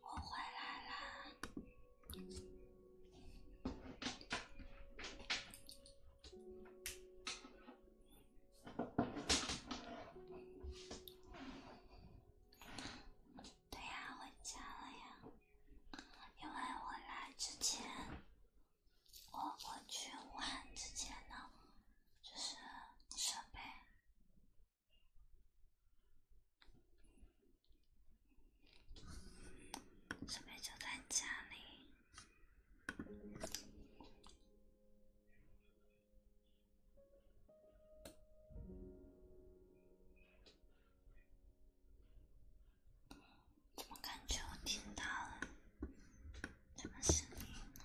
我回来啦！对呀，回家了呀。因为我来之前，我我去武汉之前呢，就是准备，准备就在家里。怎么感觉我听到了什么声音？呢？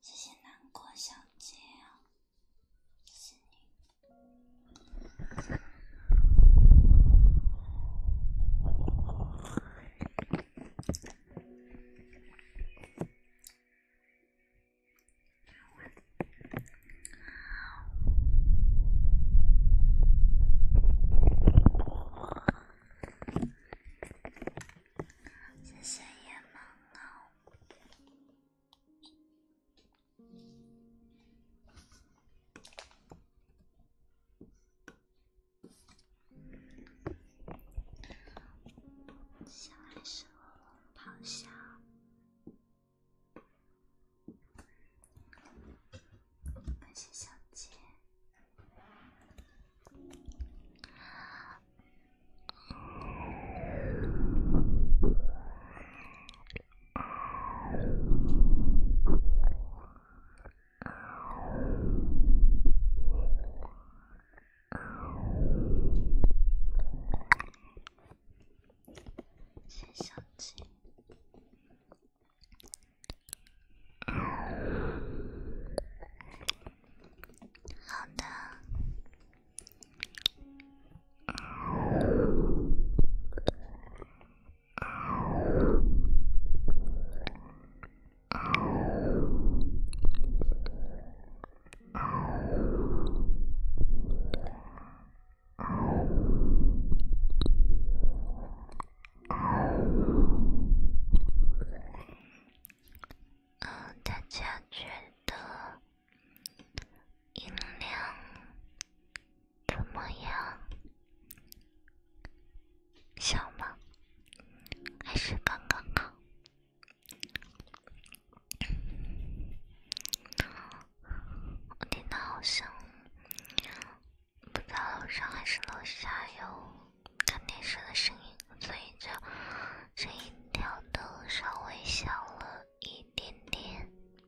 谢谢南国小姐。谢谢夜猫猫。小海狮咆哮。感谢小姐。接手机。好的。嗯，大家觉得？音量怎么样？小吗？还是刚刚好？我听到好像不知道楼上，还是楼下有看电视的声音，所以就声音调的稍微小了一点点。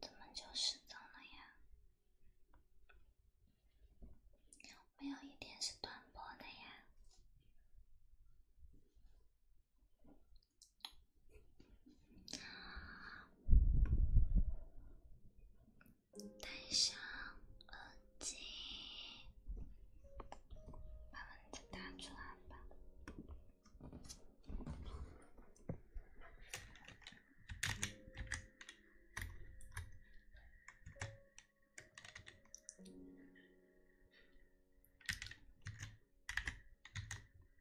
怎么就失踪了呀？我有一天是断播的呀。等一下，阿金，把问题答出来吧。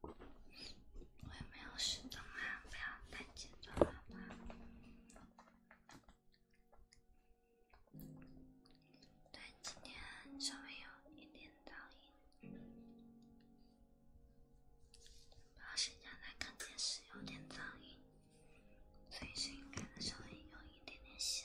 我也没有失声啊，不要太紧张了吧。对，今天稍微有一点噪音，把睡觉在看电视有点噪音，所以声音可能稍微有一点点小。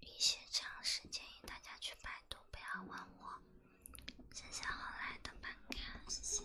一些常识建议大家去百度，不要问我。谢谢后来的班卡，谢谢。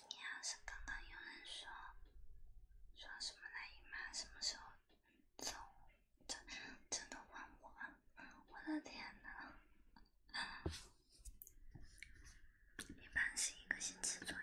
你要是刚刚有人说说什么来姨妈什么时候走，真真的问我，我的天哪，一般是一个星期左右。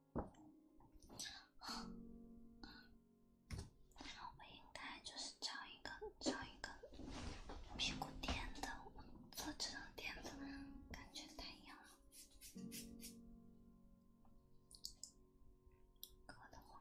那我们应该就是找一个找一个屁股垫子，坐这种垫子感觉太硬了，硌得慌。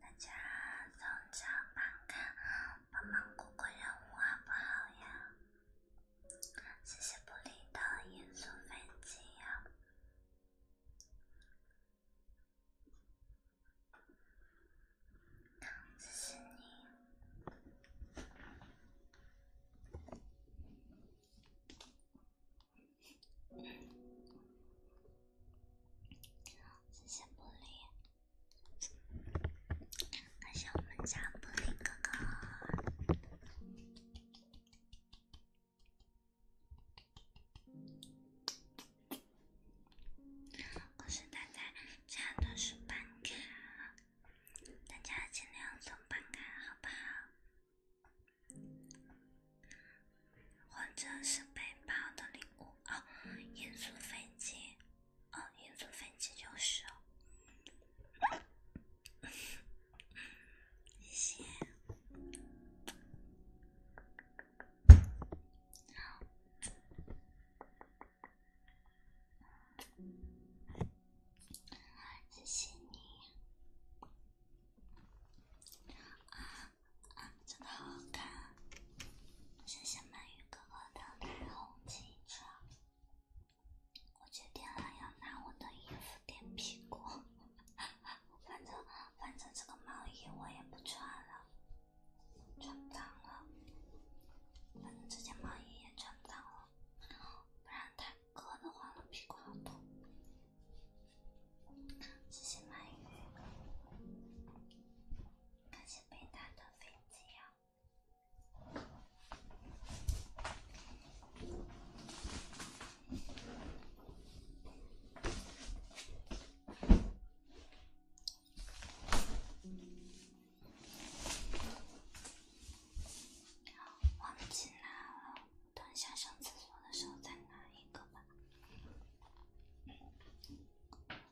大家从窗旁看。帮忙过过任务好不好呀？谢谢布里的一组飞机呀！都是你，谢谢布里。感谢我们家布丁哥哥，我是大家加的是办卡，大家尽量送办卡好不好？或者是背包的礼物哦，音素飞机。哦，银座分级就是哦，谢谢，谢谢你，啊啊，真的好看，谢谢鳗鱼哥哥的彩虹汽车。我决定了，要拿我的衣服垫屁股。反正反正这个毛衣我也不穿了，穿不脏了。反正这件毛衣也穿不脏了，不然太割的话，我屁股好痛。谢谢鳗鱼，感谢北大的飞机呀。忘记拿了，等下上厕所的时候再拿一个吧。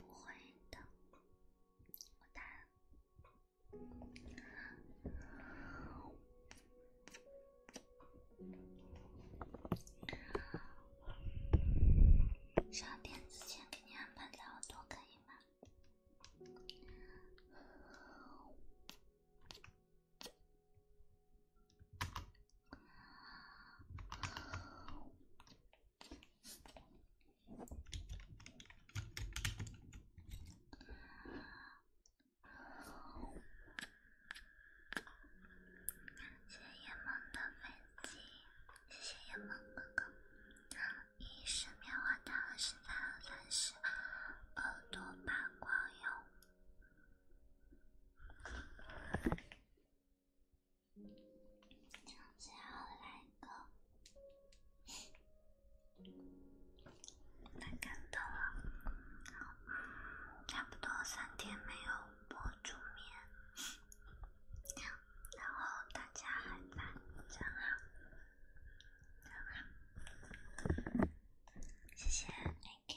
不会的，我打。稍等，之前给你安排耳朵，可以吗？谢谢夜梦的粉金，谢谢夜梦哥哥，一十棉花糖，十三二三十，耳朵发光哟。最后来个，来看到了，差不多三天没有播助眠，然后大家还来，真好，真好，谢谢 AK。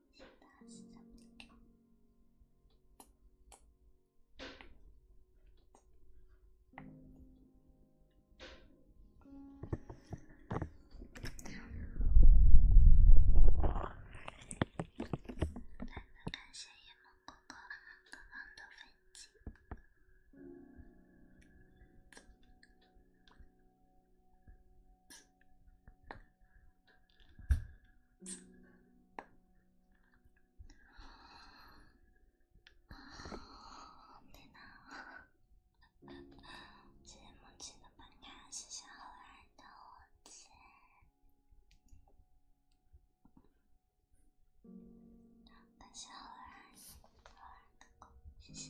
再次感谢夜猫哥哥刚刚的飞机。哦，对呢。谢谢梦奇的分开，谢谢后来的我。谢谢后来，谢谢后来，哥哥，谢谢。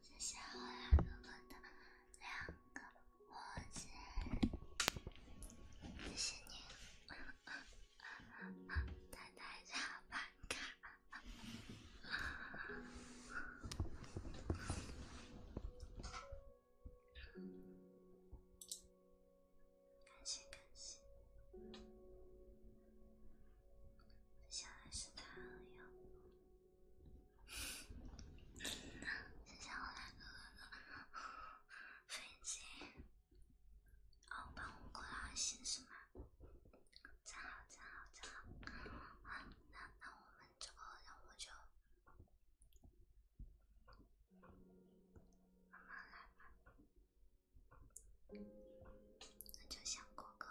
谢谢欧阳哥哥的两个火箭，谢谢你，等待下班卡。感谢感谢，接下来是他哟。谢谢我大哥哥的飞机，哦帮我过到是吗？真好真好真好。好，那那我们这个任务就慢慢来吧。那就先过个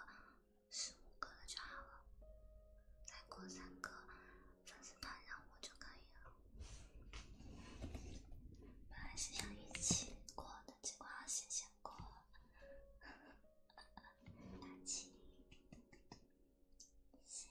十五个了就好了，再过三个粉丝团任务就可以了。本来是想一起过的，结果还是先过。二七，三。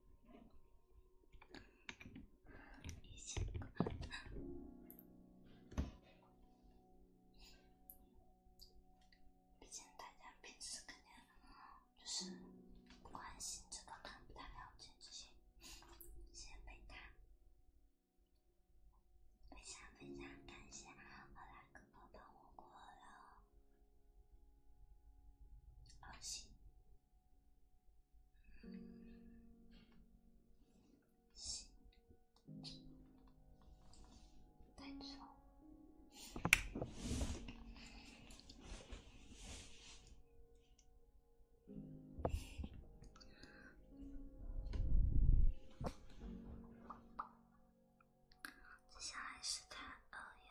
毕竟，毕竟大家平时肯定就是关心这个，不太了解这些这些背卡。非常非常感谢荷兰哥哥帮我过了。行，心。接下来是他二幺。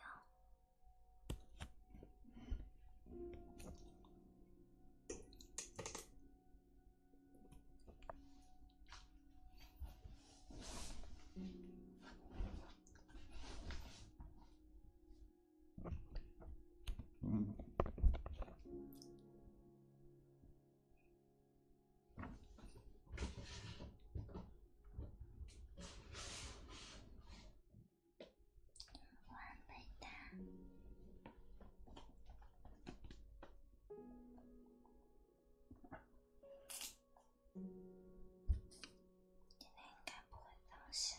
完美的，今天应该不会掉线。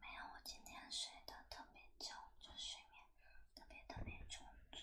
没有，我今天睡得特别久，就睡眠特别特别充足。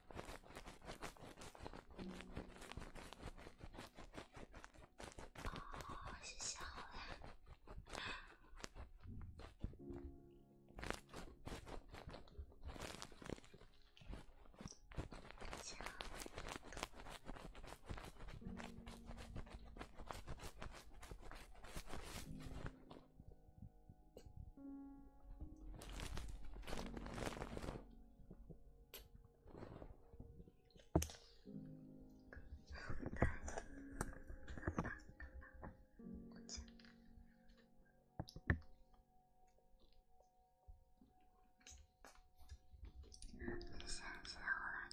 啊，谢谢好嘞，谢谢。谢谢我二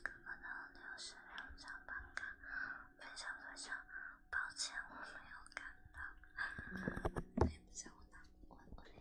哥哥的六十六张棒卡，非常非常抱歉我没有看到。我也不在乎，我我理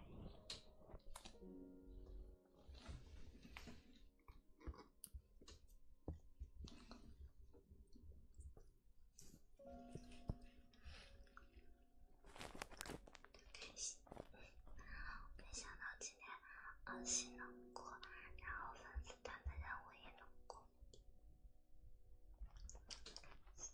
开没想到今天二星能过，然后粉丝团的任务也能过。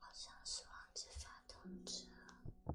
好像是忘记发通知了。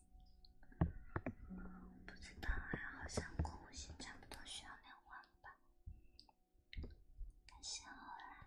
不知道啊，好像购物金差不多需要两万吧，太羡慕了。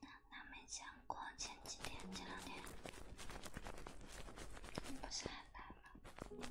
那那没讲过，前几天、这两天不是还来吗？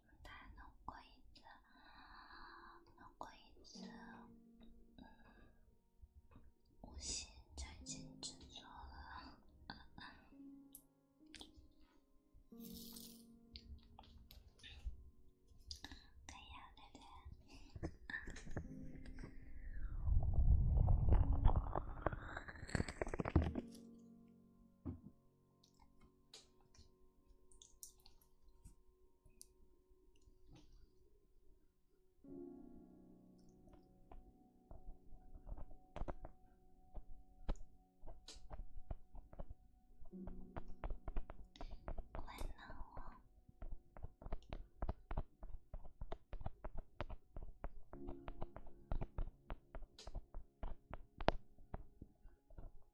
他弄过一次，弄过一次，嗯，无心插枝就做了。对呀，对对。关了我。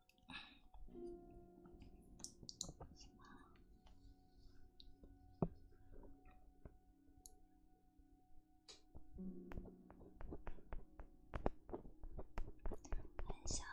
晚上好。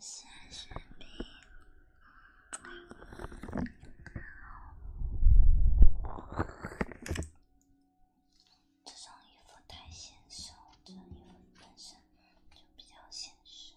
先选 B，然后，这种衣服太显瘦，这衣服本身就比较显瘦。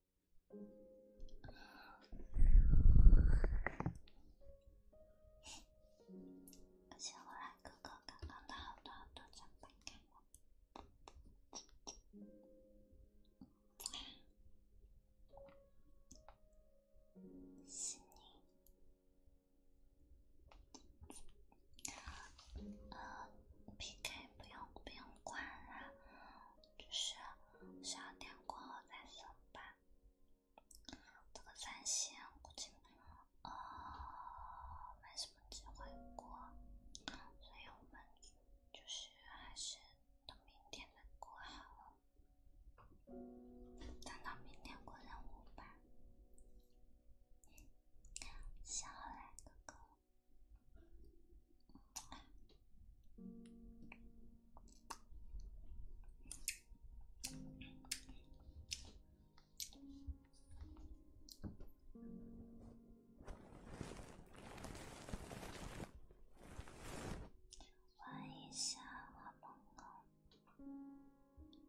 先回来，哥哥。刚刚的好多好多，再不开。是你。啊，PK 不用不用关了。就是十二点过后再送吧，这个三星估计呃没什么机会过，所以我们就是还是等明天的过好，等到明天过任务吧，行了，哥哥。玩一下，好萌哦！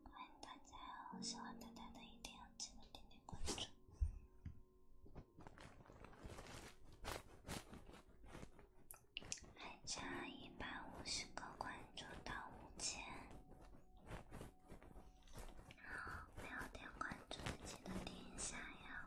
欢迎大家，喜欢大家的一定要记得点点关注。还差一百五十个关注到五千，没有点关注的记得点一下呀！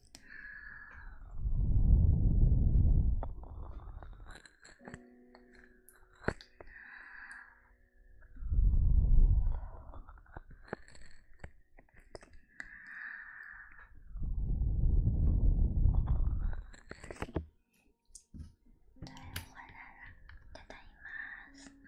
对，我回来了，大大姨妈。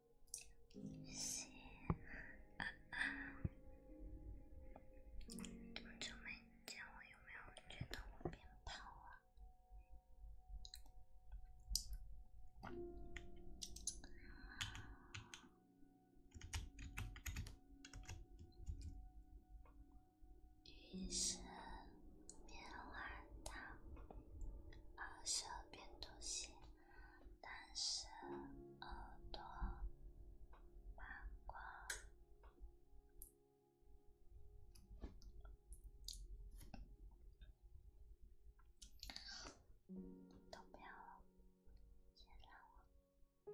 是，啊啊！这么久没见，我有没有觉得我变胖了？于是，棉花糖，二十二变多些。但是耳朵八卦都不要了，先让我。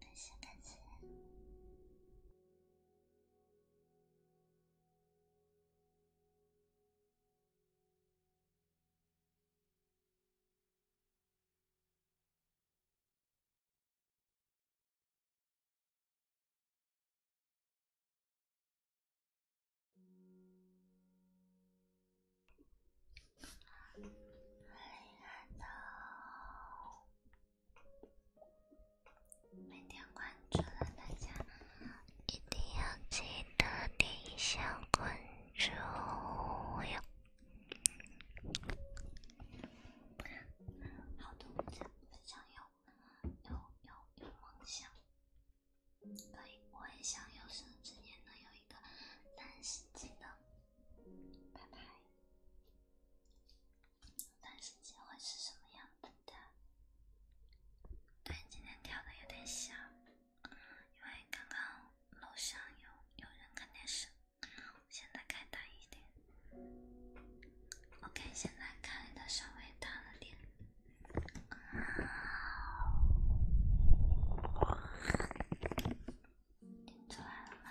感谢，感谢。Hello，没关注的大家一定要记得点一下关注哟！好的，分享分享有有有有梦想，可我也想有生之年能有一个三十斤的。拜拜。电视机会是什么样子的？对，今天调的有点小，因为刚刚楼上有有人看电视，现在开大一点。OK，现在开的稍微大了点。好。听出来了吗？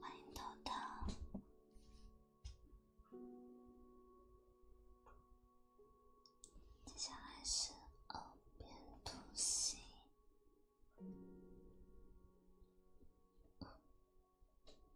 欢迎豆豆，接下来是凹边图形。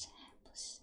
这还不是。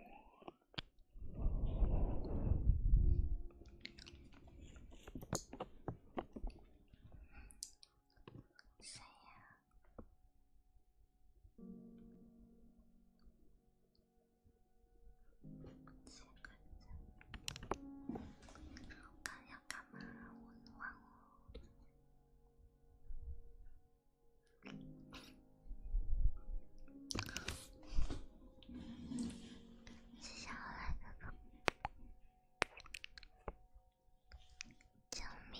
谁呀？刚想干嘛？玩玩哦。接下来的歌，救命！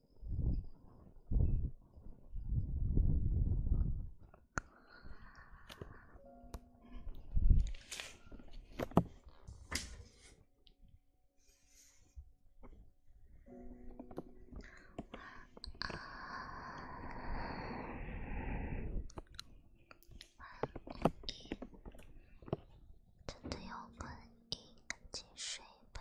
啊，真的要关机，赶紧睡吧。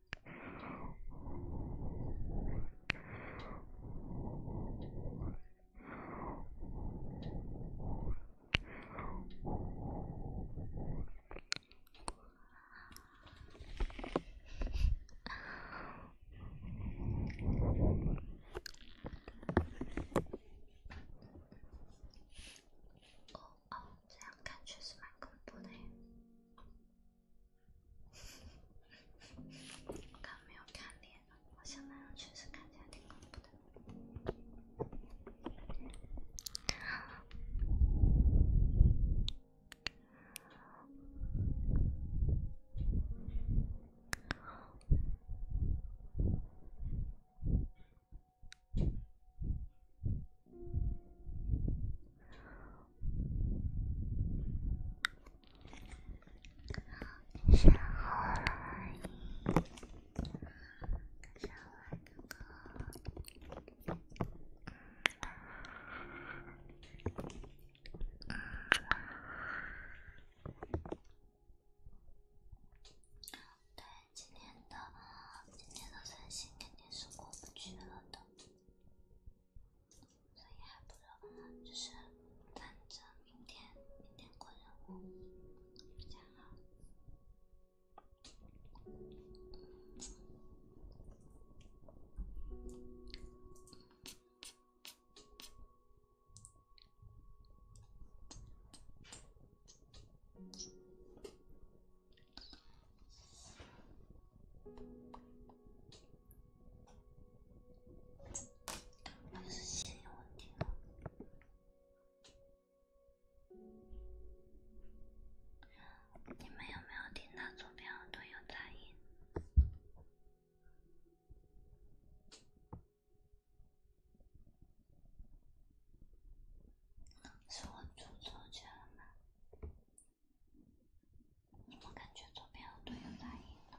哦哦，这样看确实蛮恐怖的。我刚没有看脸，好像那样确实看起来挺恐怖的。下回，下回，对今天的今天的三星肯定是过不去了的。所以还不如就是反正明天明天过任务比较好。还是线路问题了。你们有没有听到左边都有杂音？是我读错句了吗？怎么感觉左边的队友打赢了？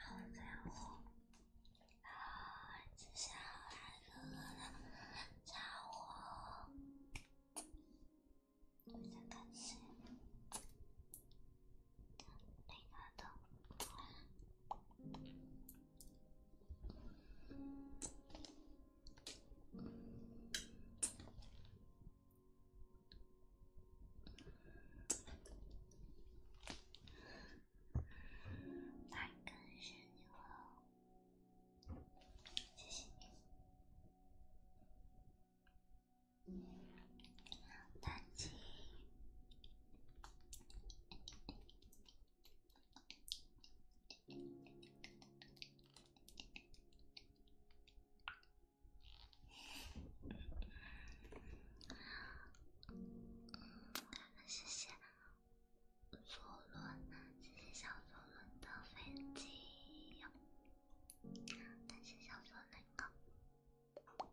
好家伙！啊，这是哪个的家伙？我在看谁？太感谢你了，谢谢，再见。嗯，谢谢左轮，谢谢小左轮的飞机感谢小左那个。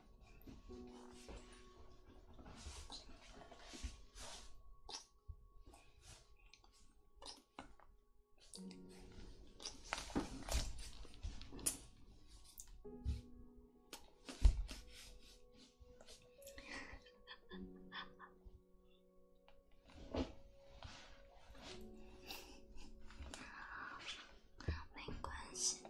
没关系的。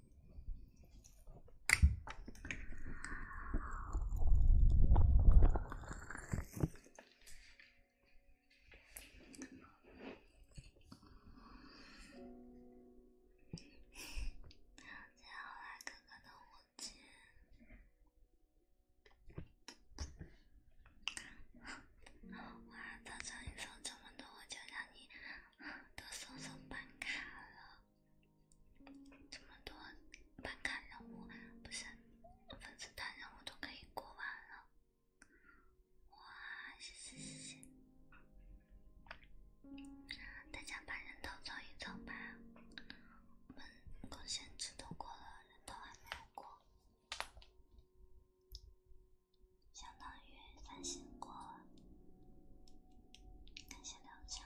再来个我的火箭！我要再唱一首《成都》，我叫上你。都送上办卡了，这么多办卡任务不是粉丝团任务都可以过完了，哇，谢谢谢谢，大家把人头凑一凑吧，我们贡献值都过了，人头还没有过。相当于反省过感谢两枪。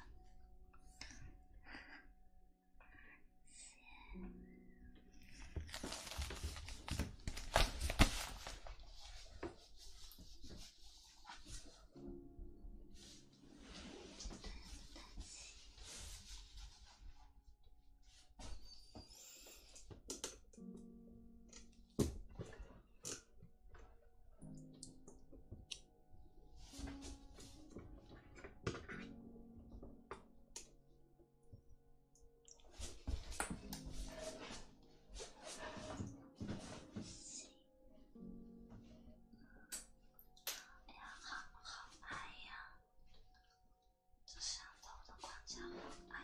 哎呀，好好爱呀！这摄像头的光效好爱。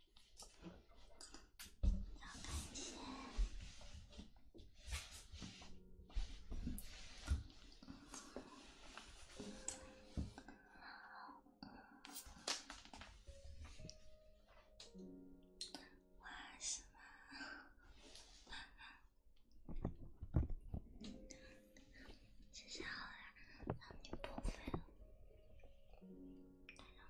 要感谢，好了，让你破费了。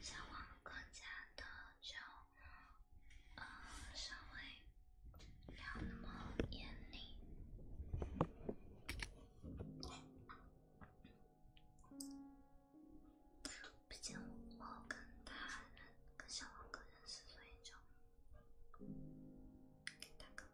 小王哥家的就，呃，稍微不要那么严厉。毕竟我跟他人跟小王哥认识，所以就给个。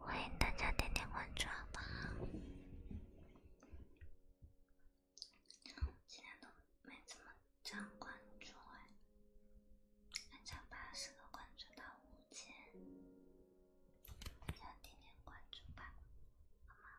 欢迎大家点点关注吧！今天都没怎么涨关注，还差八十多关注到五千。大家点点关注吧，好吗？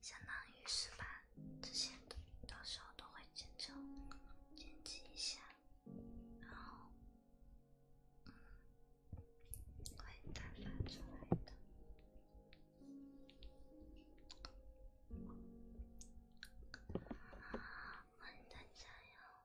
相当于是吧，这些到时候都会剪成、剪辑一下，然后会打发出来的。欢迎大家哟！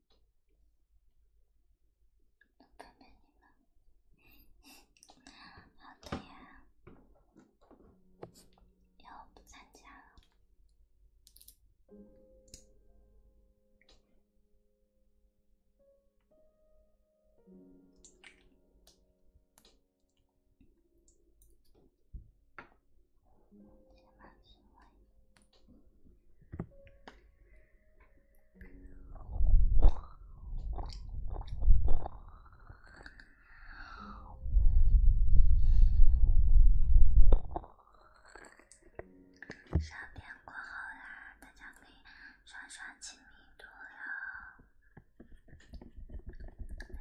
老板们，好的呀，要不参加了？什么行为？上便过后啦，大家可以刷刷亲密度哟，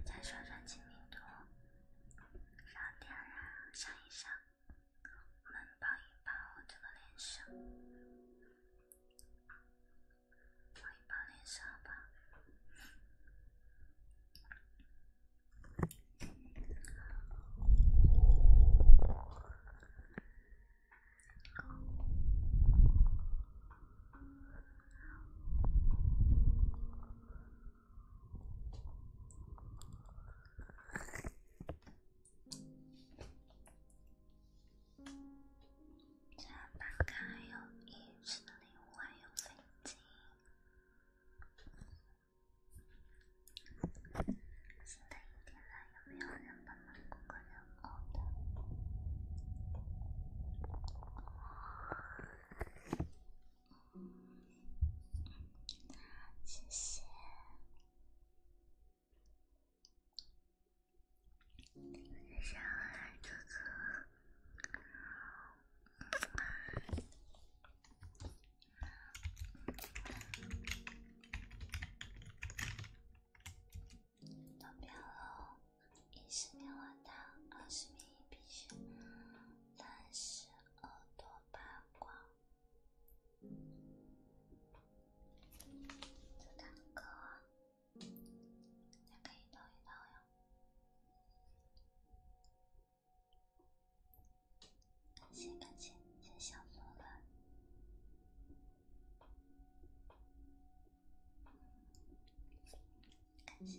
大家刷刷亲密度，少点啊，声音小。能们抱一抱这个脸色，抱一抱脸色吧。这大概有一只礼物，还有飞机。现在一点了，有没有人帮忙过个任务的？嗯，谢谢。小海哥哥，好，好，好。左边哦，一十秒到二十米必须，三十耳朵八卦。大哥，你可以抖一抖哟。感谢感谢，谢谢小松了。感谢。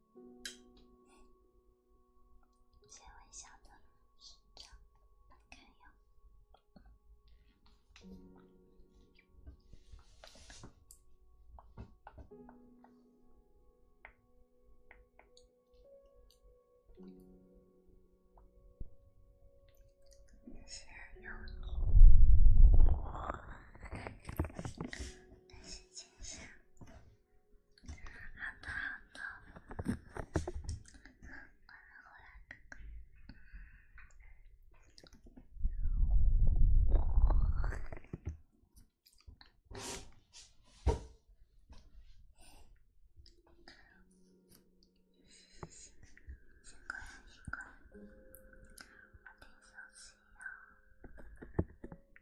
先微笑的伸长，谢谢，好的好的，我来我来，辛苦辛苦，辛苦辛苦，我得休息了。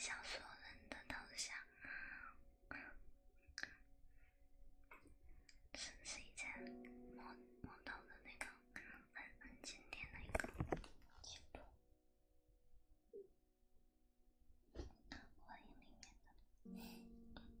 小说人的头像，是不是一件摸摸到的那个很很经典的一个记录？欢迎明天的。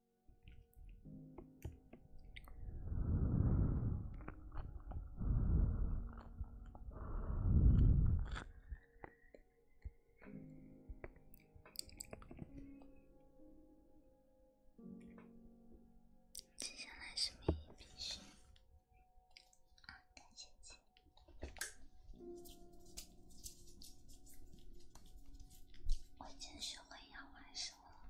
接下来是秘密培训，啊，感谢支我已经学会养白蛇了。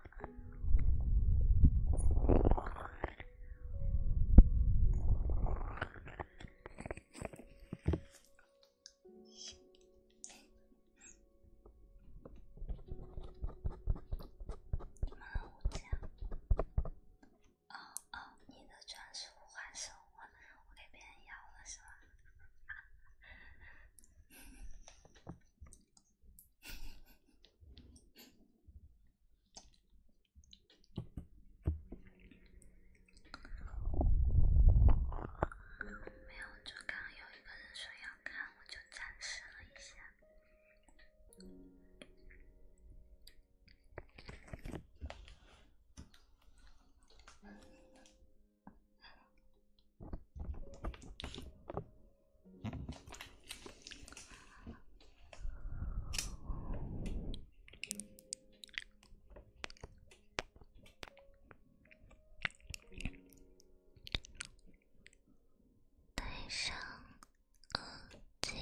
你好，乌贼。哦哦，你的专属换手环，我给别人要了是吗？没有，就刚有一个人说要看，我就展示了一下。戴上耳机。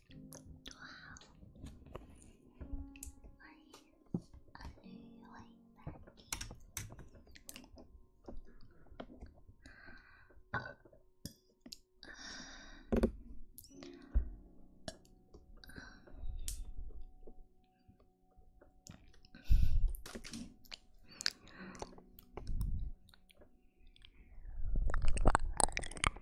wow. Are you a new way back?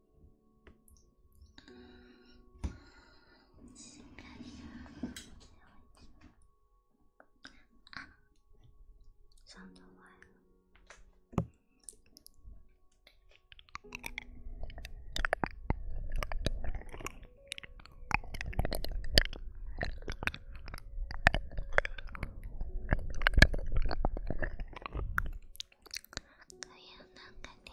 可以让那改天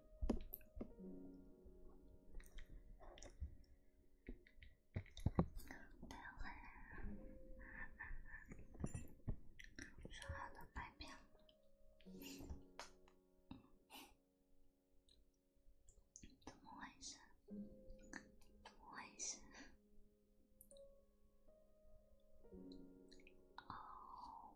不要了，说好的买票，怎么回事？怎么回事？哦。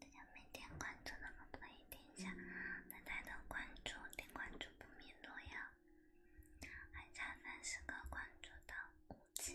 大家没点关注的，可以点一下，大家的关注，点关注不迷路哟，还差三十个关注的，五千，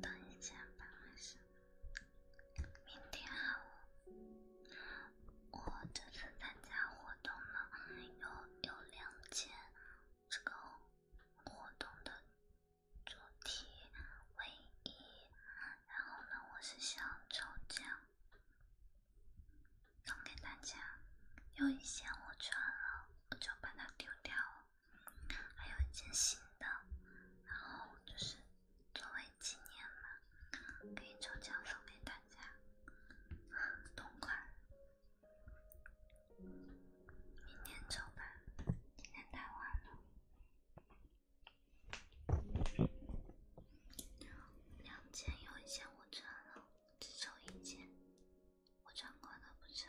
等一下，等一下。明天我我这次参加活动了，有有两件这个活动的主题卫衣，然后呢，我是想抽奖。送给大家，有一件我穿了，我就把它丢掉了，还有一件新的，然后就是作为纪念嘛，可以抽奖送给大家，同款。明天抽吧，今天太晚了。两件有一件我穿了，只抽一件。我唱歌都不唱。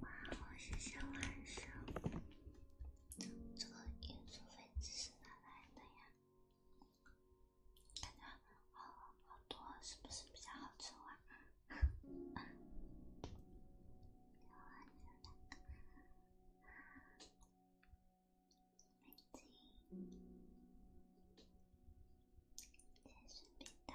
哇，我是小万生，这个运输飞机是哪来的呀？感觉好好多，是不是比较好抽啊？欢迎来到飞机，接视频的。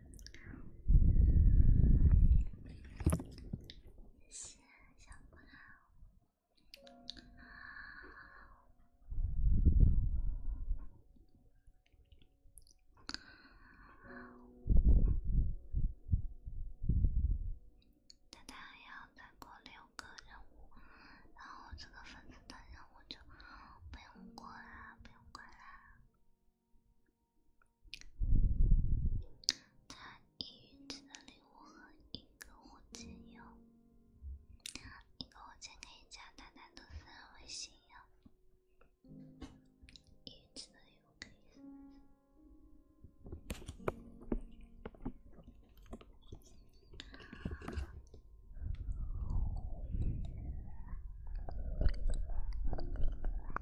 谢谢小可爱。啊，但他还要再过六个任务，然后这个粉丝的任务就不用过啦，不用过啦。他一元钱的礼物和一个火箭哟，一个火箭可以加他单独私人微信哟，一元钱的礼物可以。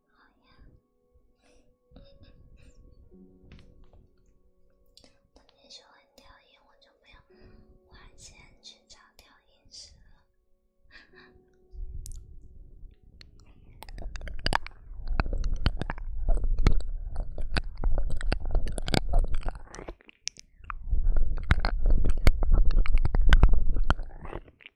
他们喜欢钓鱼，我就不要花钱去找钓鱼去了。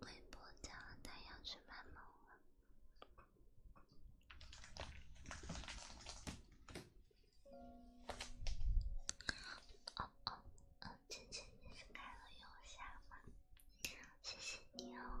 微博加了，他要去卖萌了。哦哦，嗯，晨晨，你是开了有声吗？谢谢你哦。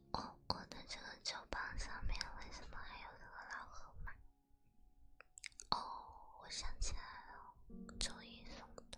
哦，我的这个酒棒上面为什么还有那个老河马？哦，我想起来了，周易送的。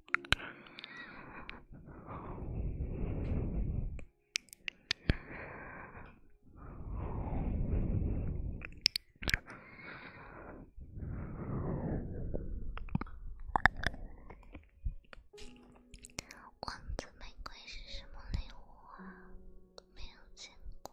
王子玫瑰是什么礼物啊？没有见过。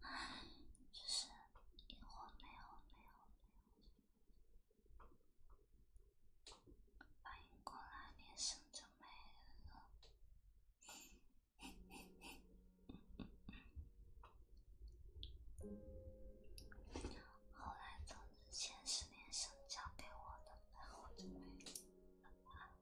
唉，就是一会没有没有没有，反应过来连胜就没了。后来就之前十年生教给我的，然后就没了。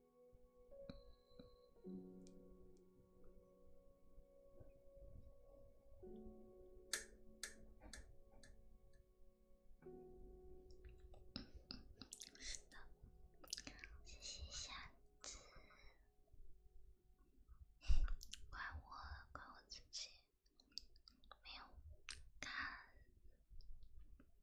是的，谢谢下次。怪我，怪我自己，没有看。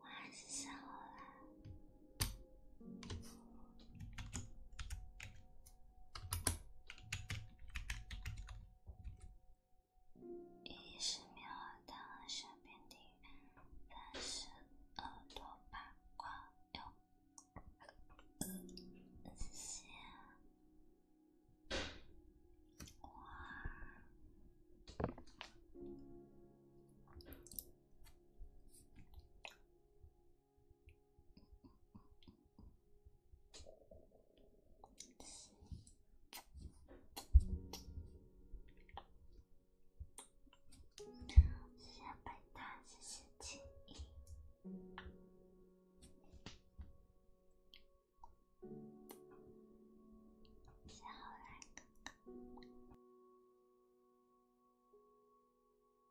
我还是瘦了。一十秒到二十分停，三十二多八块六，谢谢，哇。谢谢百搭，谢谢锦衣，谢后来个。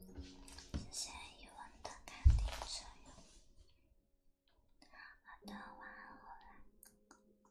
实现语文的考点作用，我的玩偶们，萌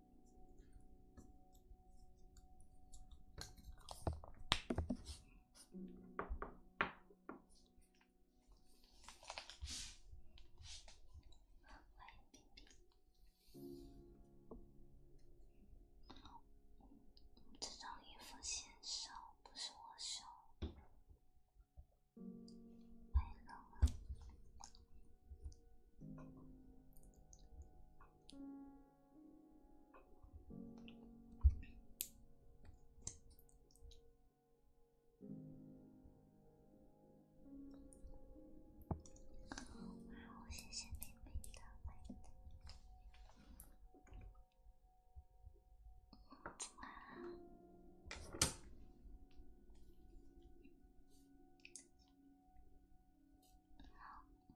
欢迎冰冰。这种衣服显瘦，不是我瘦。欢迎冷啊。妈，我谢谢你给的温暖。晚安。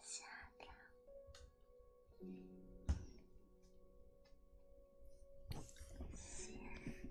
下掉，心跳。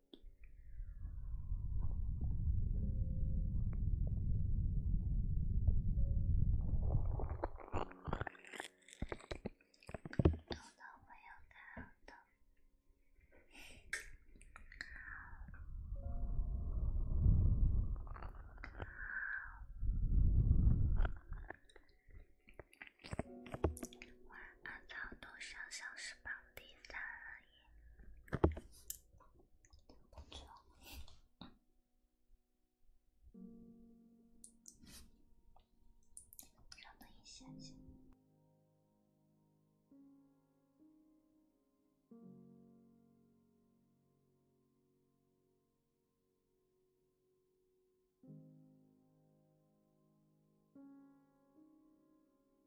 偷偷没有看到。晚安，上小榜第三。让等一下，下。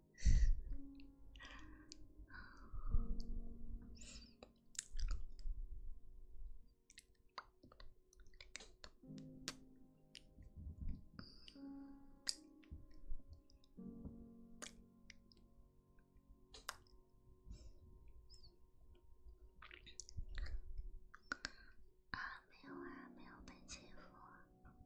啊，没有啊，没有被欺负啊。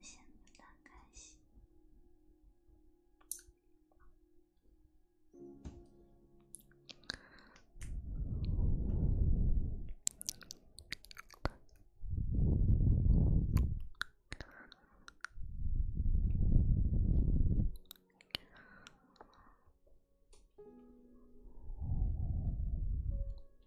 先不打开洗。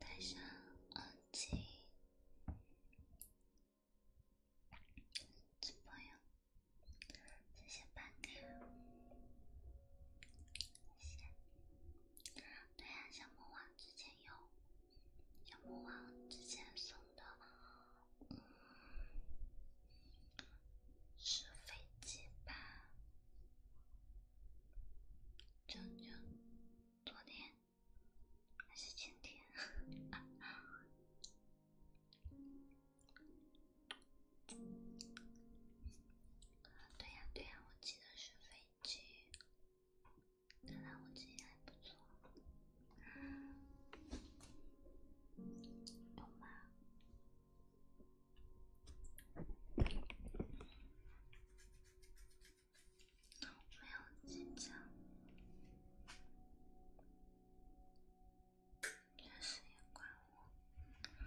戴上耳机，小朋友，谢谢爸爸，谢谢。对呀，小魔王之前有，小魔王之前送的。嗯，是飞机吧？就就昨天还是今天？对呀对呀，我记得是飞机。看来我记还不错，懂吗？没有进展，这事也怪我。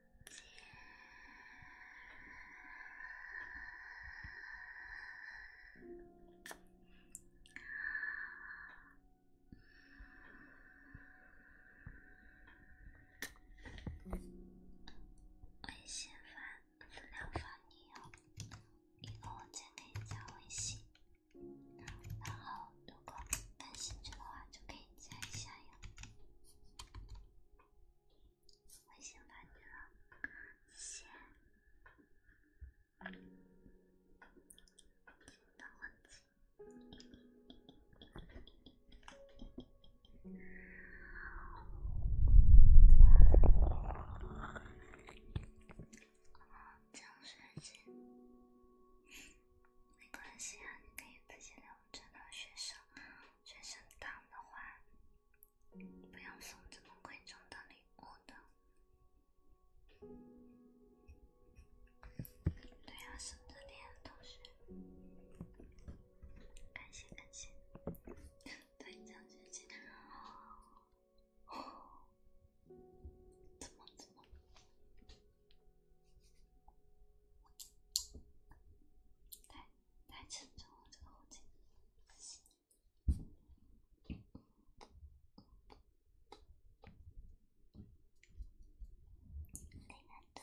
姐，啊，我先发资料发你哦，以后我再给你加微信，然后如果感兴趣的话就可以加一下呀。微信看见了，谢。其他问题。好，江雪晴，没关系啊，你可以自己留着呢，学生。学生党的话，不要送这么贵重的礼物的。对啊，送的连同学，感谢感谢，对，讲学习的怎么怎么？太太沉重，这个事情。来来来。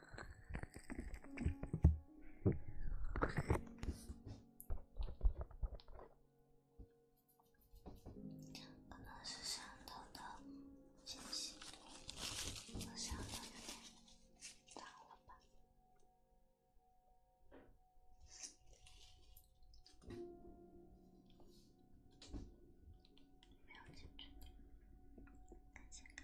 可能是上头的清晰度，和头有点挡了吧，没有清楚点，看下看。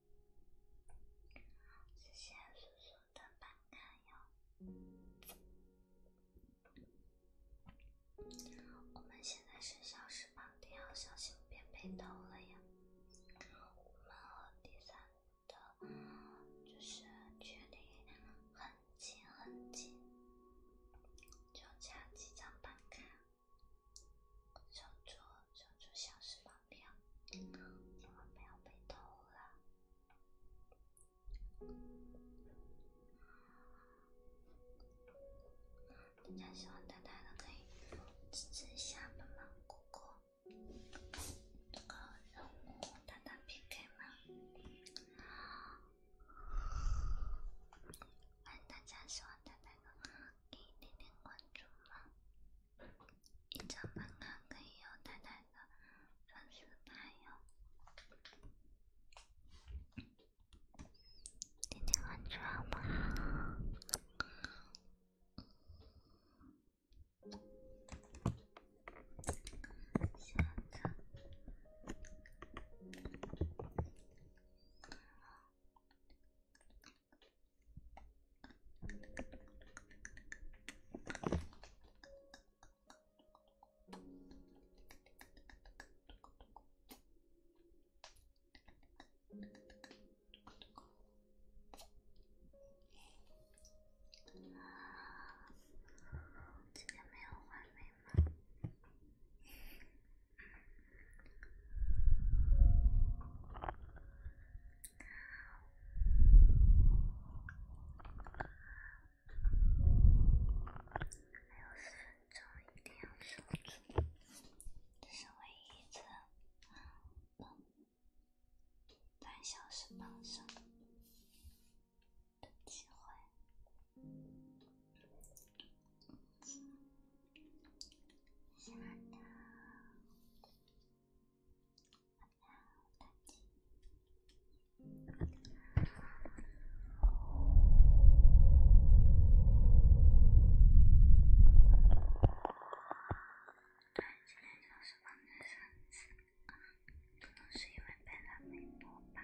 谢谢叔叔的办卡哟。我们现在是小时榜，一定要小心别被偷了呀。我们和第三的，就是距离很近很近，就差几张办卡。守住，守住小石千万不要被偷了。大家喜欢大大的，可以支持一下嘛，哥哥。这个任务，大大 PK 吗？欢迎大家喜欢大大的。给你点点关注吗？一张办卡可以有淡淡的粉丝牌哟。点点关注好不好？下次。今天没有完美吗？六十分钟一定要守住，这是唯一一次半小时保胜的机会。对，今天主要是放在身子，可能是因为被他没播吧。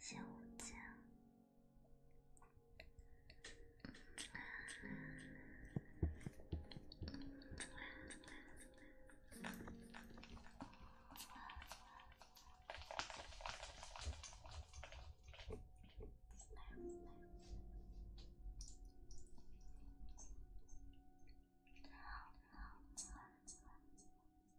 小江。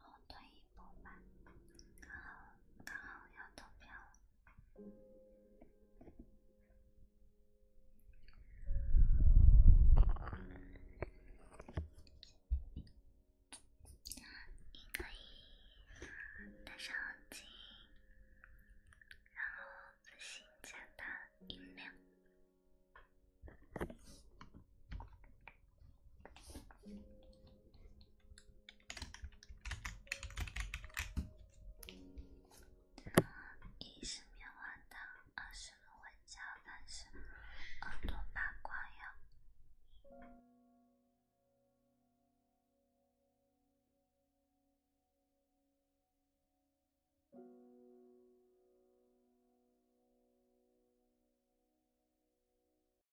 后退一步吧，刚好刚好要投票了。你可以戴上耳机，然后仔细加大音量。一是棉花糖，二是芦荟胶，三是耳朵八卦药。